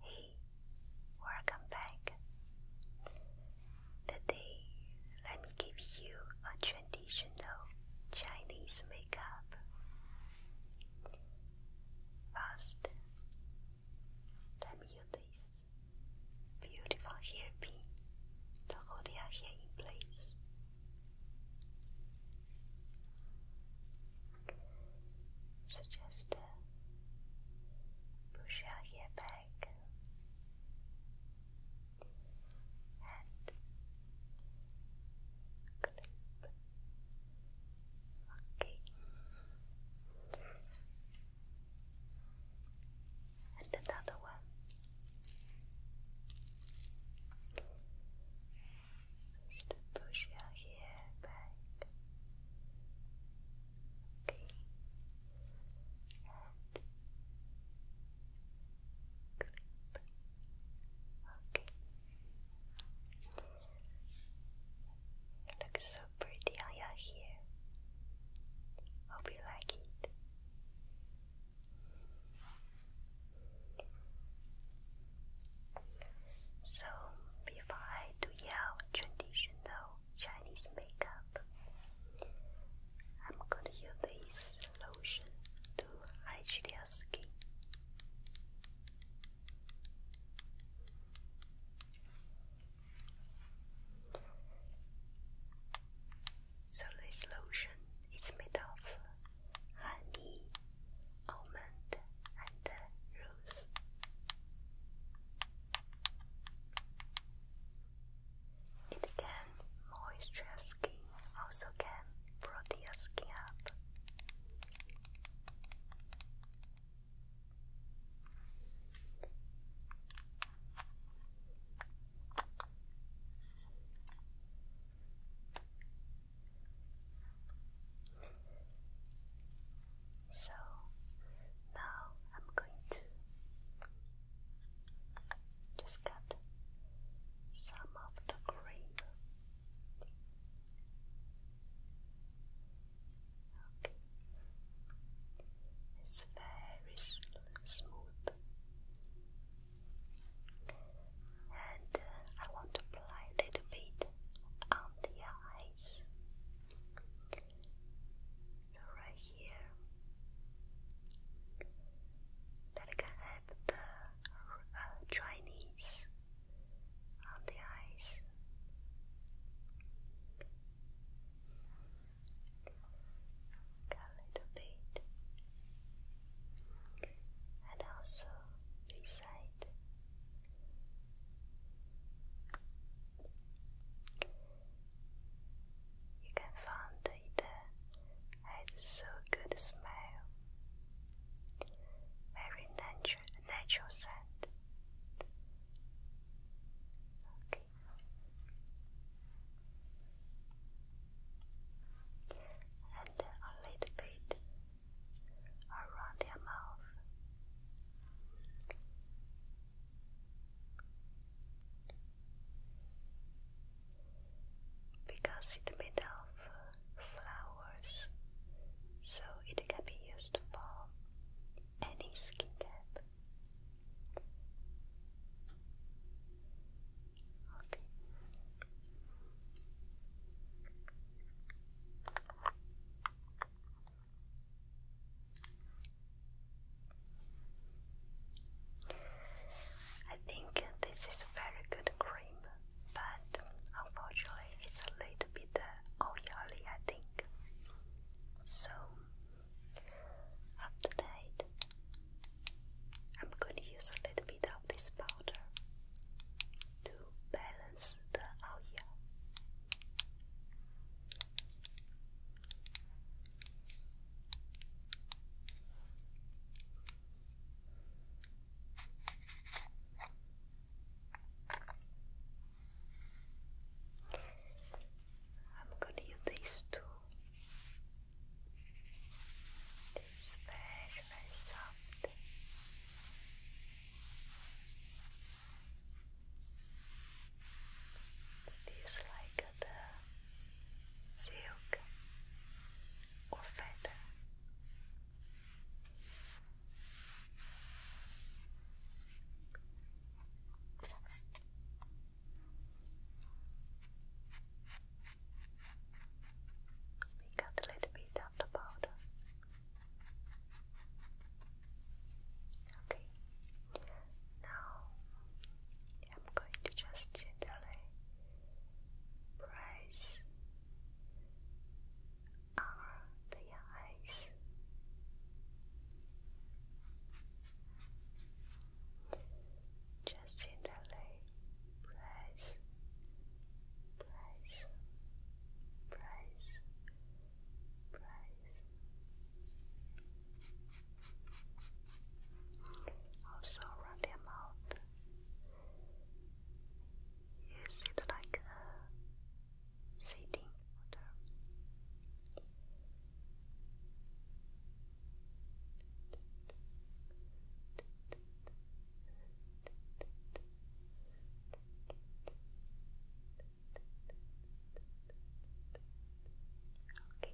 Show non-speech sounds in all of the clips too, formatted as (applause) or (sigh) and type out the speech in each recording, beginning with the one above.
Hey, welcome back. Today, let me give you a traditional Chinese makeup. First, let me use this beautiful hairpin to hold your hair in place. So just uh, push your hair back and clip. Okay. And another one. Just push your hair back. Okay. And clip. Okay. It looks so pretty on your hair. Hope you like it. So, before I do your traditional Chinese makeup, I'm gonna use this lotion to hydrate your skin. So this lotion is made of honey almond, and rose. It can moisturize skin, also can broaden skin up. So now I'm going to just cut some of the cream. Okay. It's very smooth, and uh, I want to apply a little bit on the eye eyes. So right here, that can have the uh, Chinese on the eyes. a little bit, and also this side. You can find it has so good smell, very natural natural scent. And a little bit around your mouth. Because it's made of flowers, so it can be used for any skin Okay. I think this is a very good cream, but unfortunately it's a little bit uh, oily, I think. So after that, I'm going to use a little bit of this powder to balance the Aoya. I'm going to use these two. It's very you very soft. It is like the silk or feather. Pick out a little bit of the powder. Okay, now I'm going to just gently press on the eyes. Just gently press, press price, price. Also around your mouth, you sit like a uh, sitting water. Okay.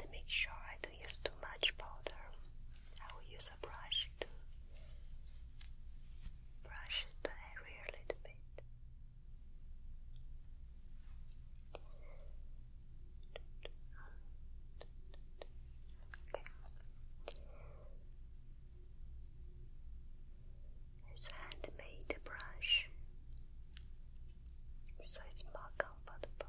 And make sure I don't use too much powder. I will use a brush to brush the area a little bit. It's a handmade brush, so it's more comfortable.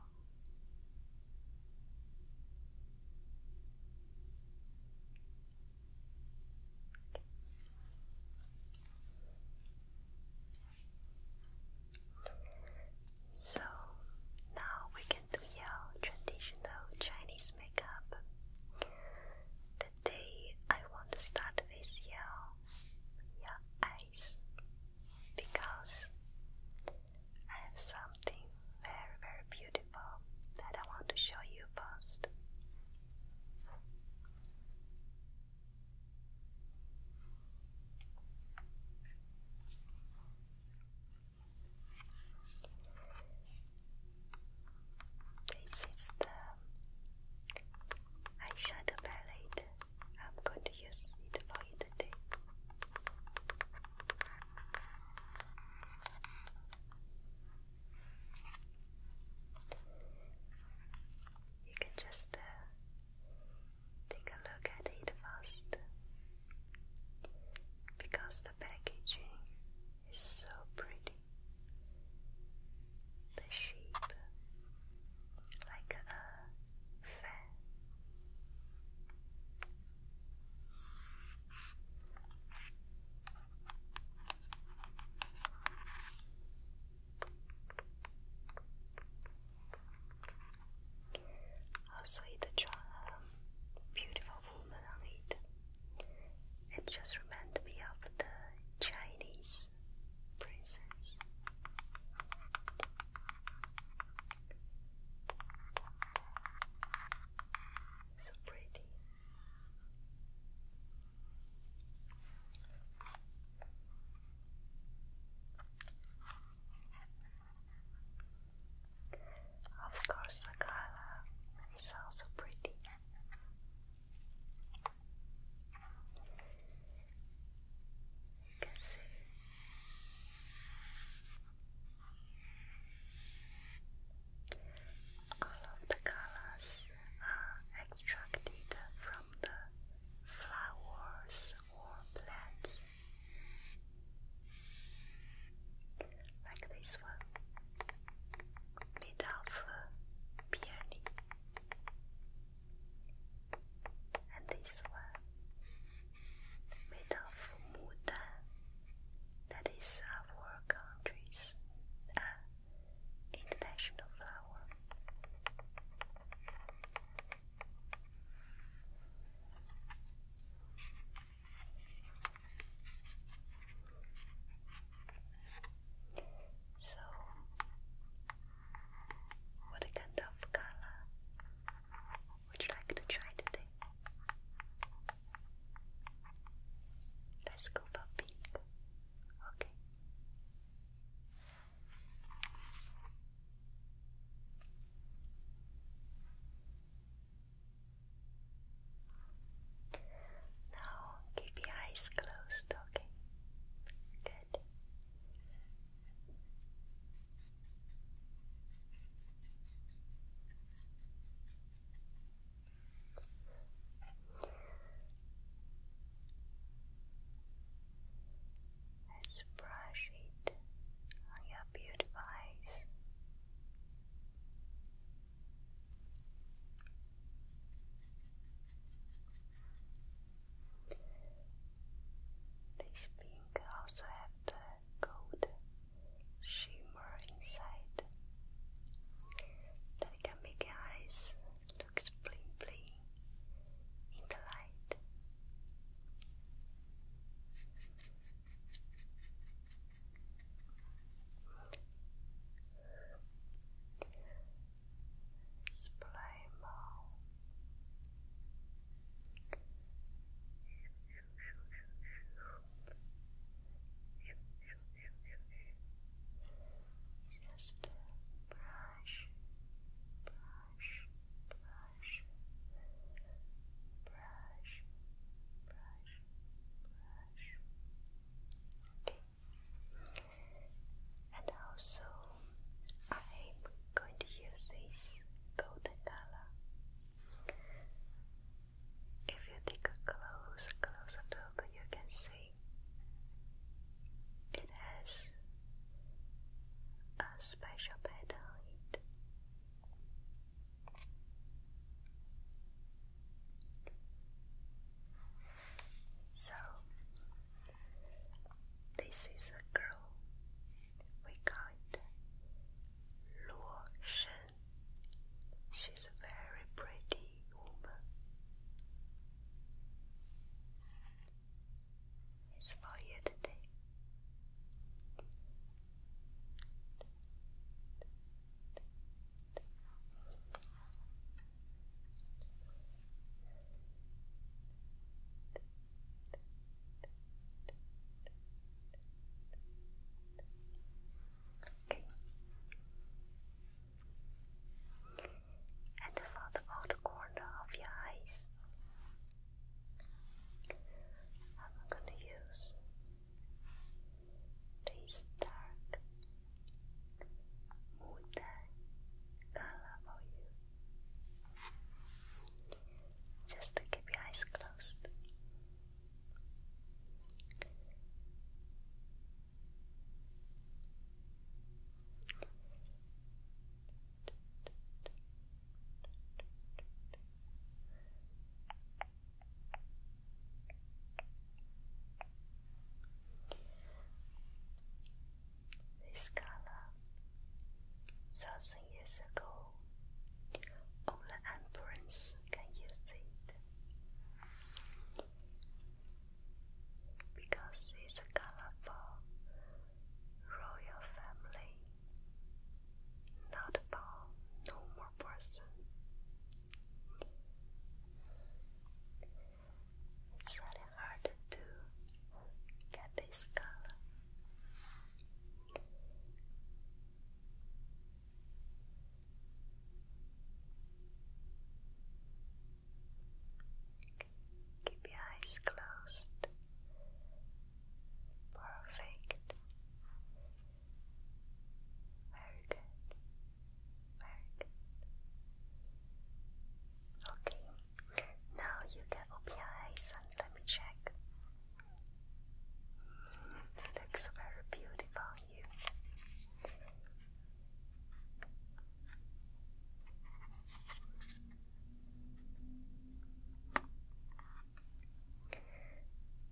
So now we can do your traditional Chinese makeup. Today I want to start with your your eyes because I have something very very beautiful that I want to show you first. This is the eyeshadow palette. I'm going to use it for you today. You can just uh, take a look at it first because the packaging is so pretty. The shape, like a fan. I sweet the charm, beautiful woman It just reminded me of the Chinese princess. So pretty. Of course, the color is also pretty. You can see. All of the colors are extracted from the flowers or plants. Like this one, made of peony. And this one, made of That is our country's uh, international flower. So, what kind of color would you like to try today? Let's go for pink. Okay. Now keep your eyes closed, okay? Good i us brush it on your beautiful eyes. This pink also have the gold shimmer inside that can make your eyes look bling in the light. Spray more. Spray more. Just brush, brush, brush, brush, brush, brush. Okay. And also, I'm going to use this golden color. If you take a close, close look, you can see it has a special pattern on So, this is a girl. We call it Luo Shen. She's a very pretty woman. It's for you today. Okay. And for the outer corner of your eyes, I'm gonna use this dark wooden color for you. Just keep your eyes closed. This color, thousand years ago, only emperors can use it because it's a colorful royal family, not about normal person. It's really hard to get this color. Keep your eyes closed. Perfect. Very good. Very good. Okay. Now you can open your eyes and let me check. looks very beautiful,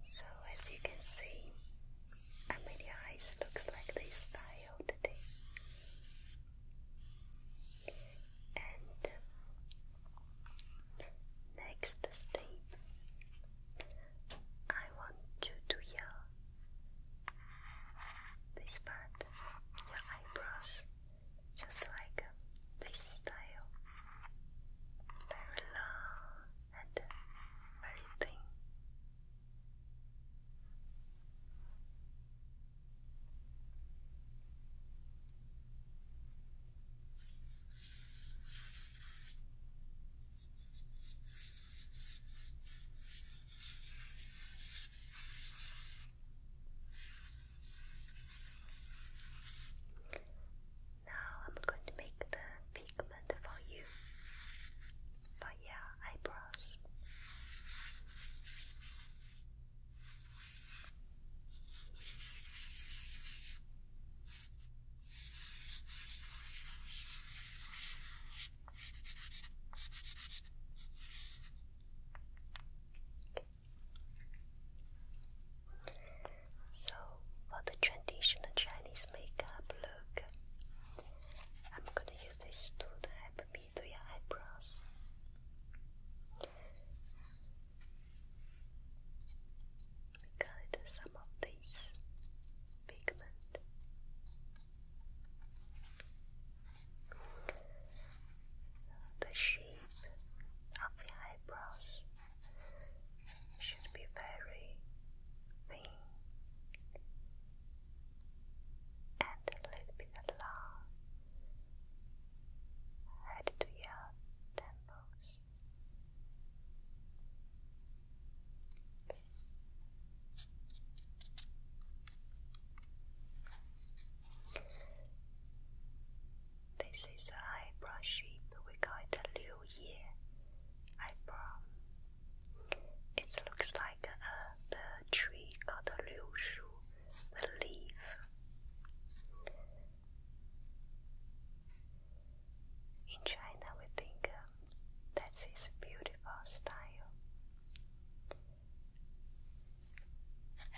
so as you can see, I looks like this style today. And um, next step, I want to do your this part, your eyebrows, just like uh, this style, very long and uh, very thin. Now I'm going to make the pigment for you for your eyebrows. So, for the traditional Chinese makeup look, I'm gonna use this to help me do your eyebrows got some of this pigment. The shape of the eyebrows should be very thin and a little bit long head to your temples. This is an eyebrow shape we call a Liu Ye eyebrow. It looks like uh, the tree called the Liu Shu, leaf. In China, we think um, that's his beautiful style. And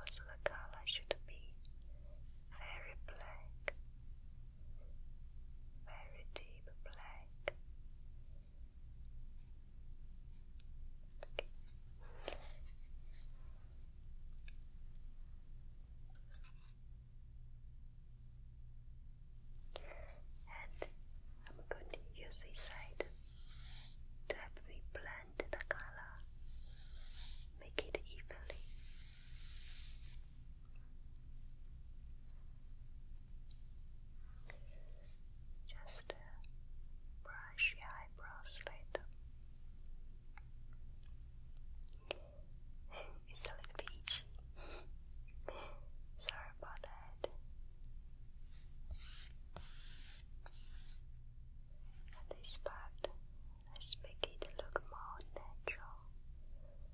also the color should be very black, very deep black, and I'm going to use this side to help me blend the color, make it evenly. Just uh, brush your eyebrows later. (laughs) it's a little bit itchy. (laughs) Sorry about that. At this part, let make it look more natural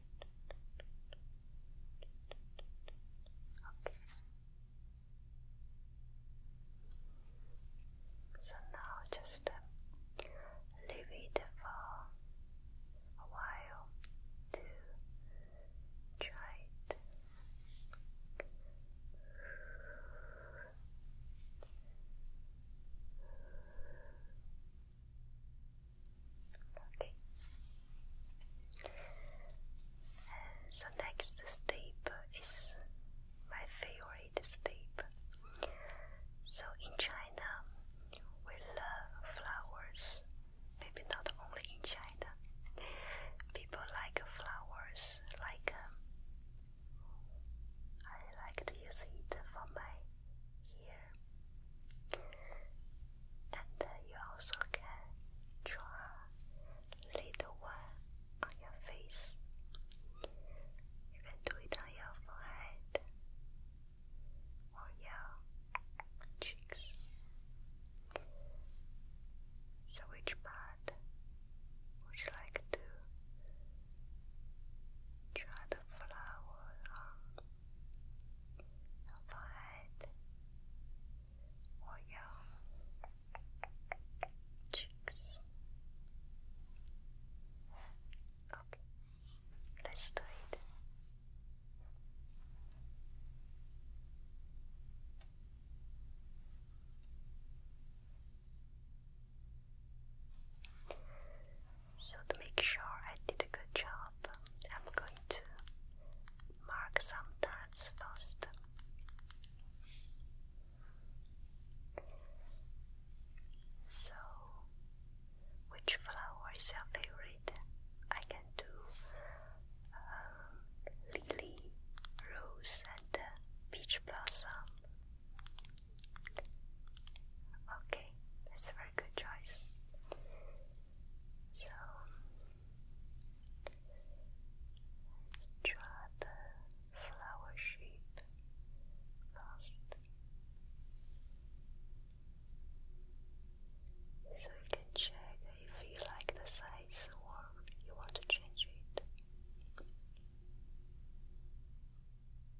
Okay. So now just um, leave it for a while to dry it. Okay. Uh, so next step is my favorite step. So in China, we love flowers. Maybe not only in China. People like flowers. Like um, I like to use it for my hair and you also can draw little one on your face. You can do it on your forehead or your cheeks. So which part would you like to try the flower on your forehead or your cheeks. Okay, let's do it. So to make sure I did a good job, I'm going to mark some dots first. So, which flower is your favorite? I can do um, lily, rose, and uh, peach blossom. Okay, that's a very good choice. So draw the flower shape first. So you can check if you like the size or you want to change it. So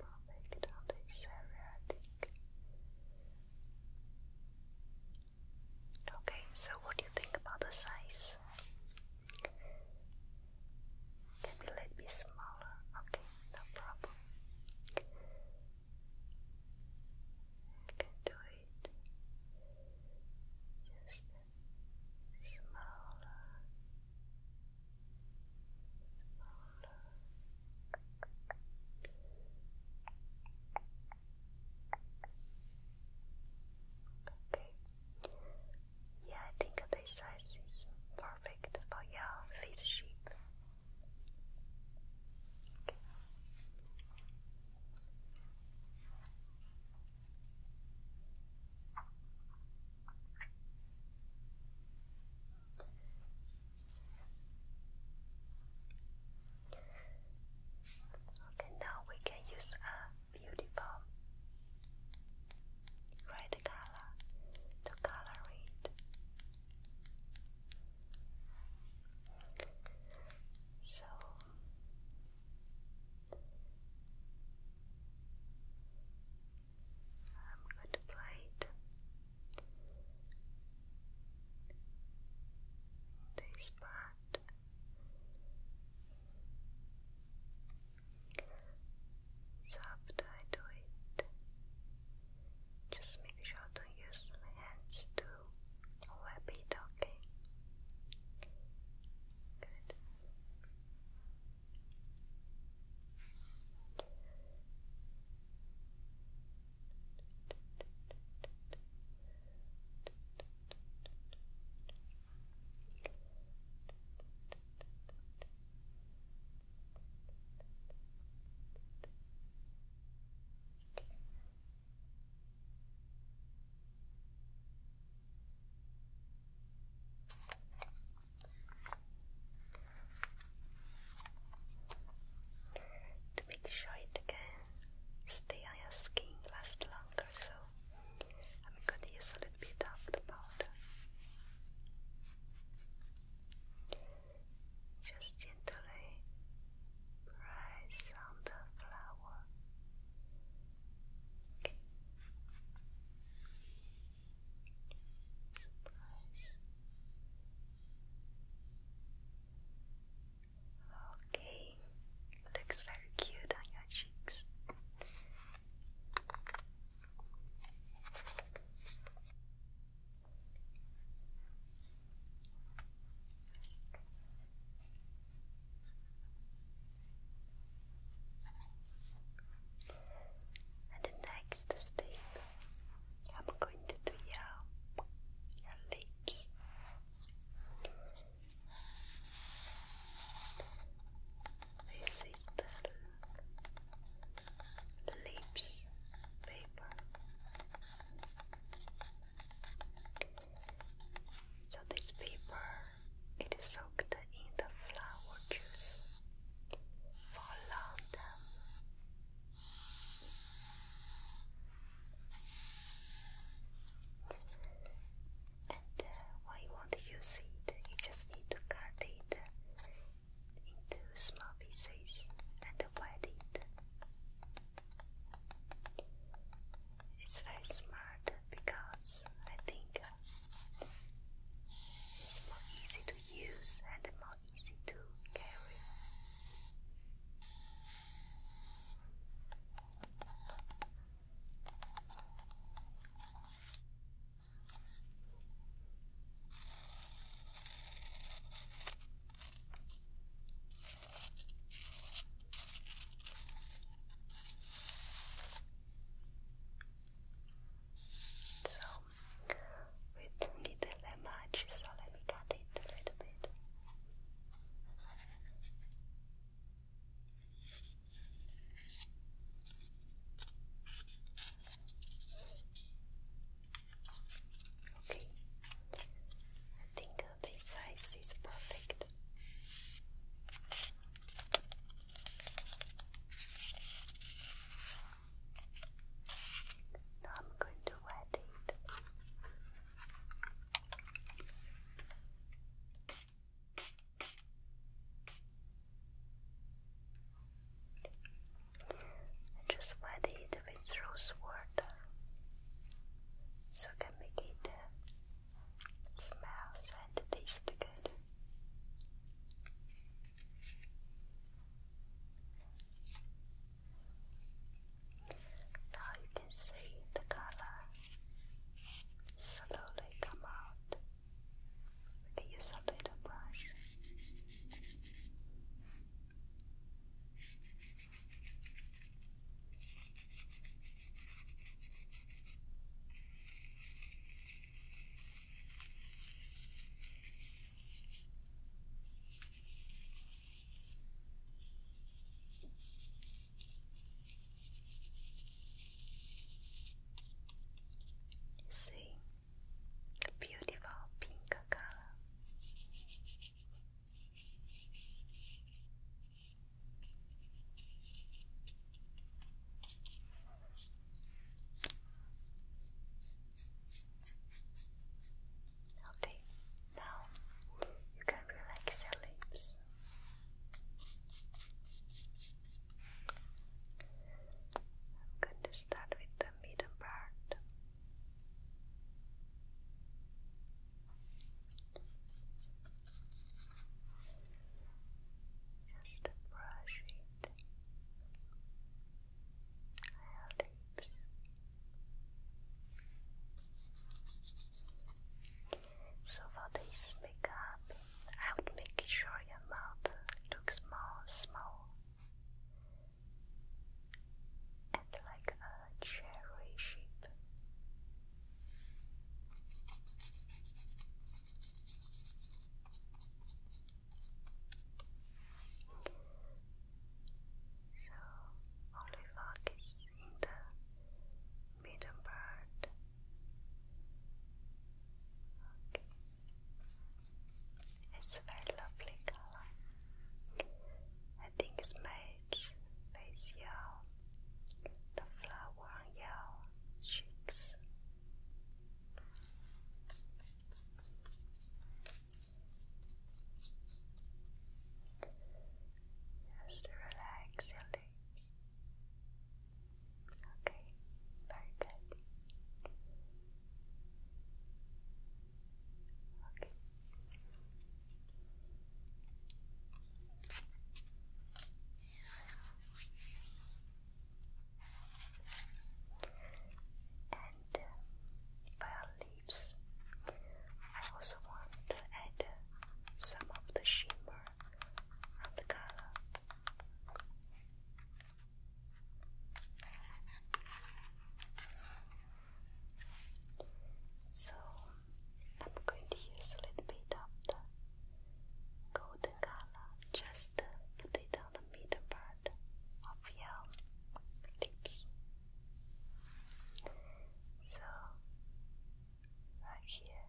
that perfect on this area, I think. Okay, so what do you think about the size? Can be let little bit smaller. Okay, no problem. You can do it just smaller, smaller. Okay. Yeah, I think this size is perfect for yeah, face shape. Okay, now we can use a beautiful red color to color it. So I'm going to apply this part soft I do it. Just make sure to use my hands to wrap it, okay? Good. To make sure it can stay on your skin last longer, so I'm gonna use a little bit of the powder. Just gently press on the flower. Okay. Okay, looks very cute on your cheeks. And the next step, I'm going to do your lips. This is the lips paper. So this paper it is soaked in the flower juice for a long time and uh, when you use it, uh, you just need to cut it uh, into small pieces and wet it. It's very smart because I think uh, it's more easy to use and more easy to carry. So we don't need that much, so let me cut it a little bit. Okay, I think this size is perfect. Now I'm going to wet it. Just wet it with rose water so can make it uh, and taste good. Now you can see the color slowly come out. Use a little brush. See, beautiful pink color. Okay, now you can relax your lips. I'm going to start with the middle part. Just brush it. So for this makeup, I would make sure your mouth looks more small and like a cherry shape. So only focus in the middle part it's a very lovely color. I think it's made face yellow, the flower on yellow cheeks. Just relax your lips. Okay, very good. Okay. And for our lips, I also want to add some of the shimmer on the color. So I'm going to use a little bit of the golden color just put it on the middle part of your lips. So right here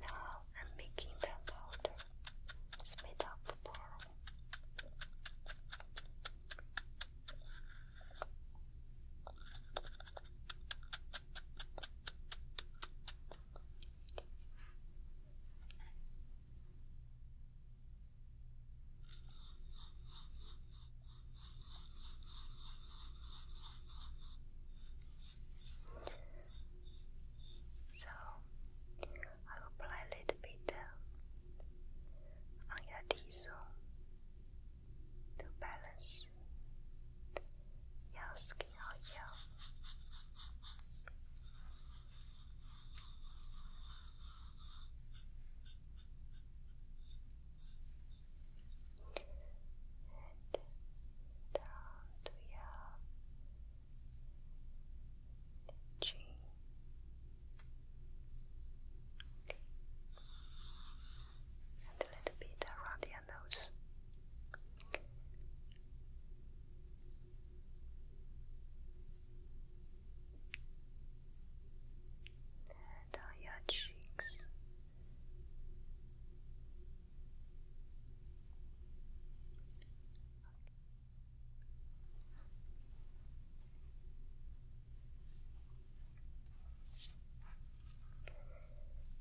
Now I'm making the powder. It's made up of so I will apply a little bit uh, on your T zone to balance your skin and to your chin and a little bit around your nose. And your cheeks.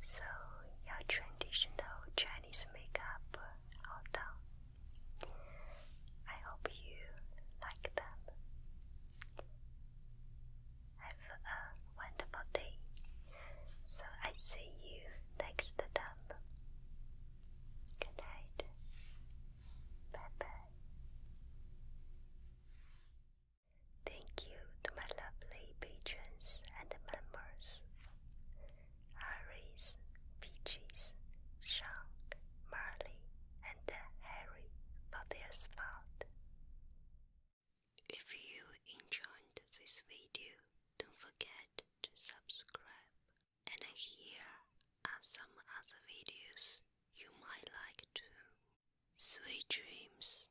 So your traditional Chinese makeup all I hope you like them. Have a wonderful day. So I see you next time. Good night. Bye bye. Thank you to my lovely patrons and members Iris, Peaches, Sean, Marley, and Harry for their support. If you enjoyed this video, don't forget to subscribe. And here are some other videos you might like too. Sweet dreams.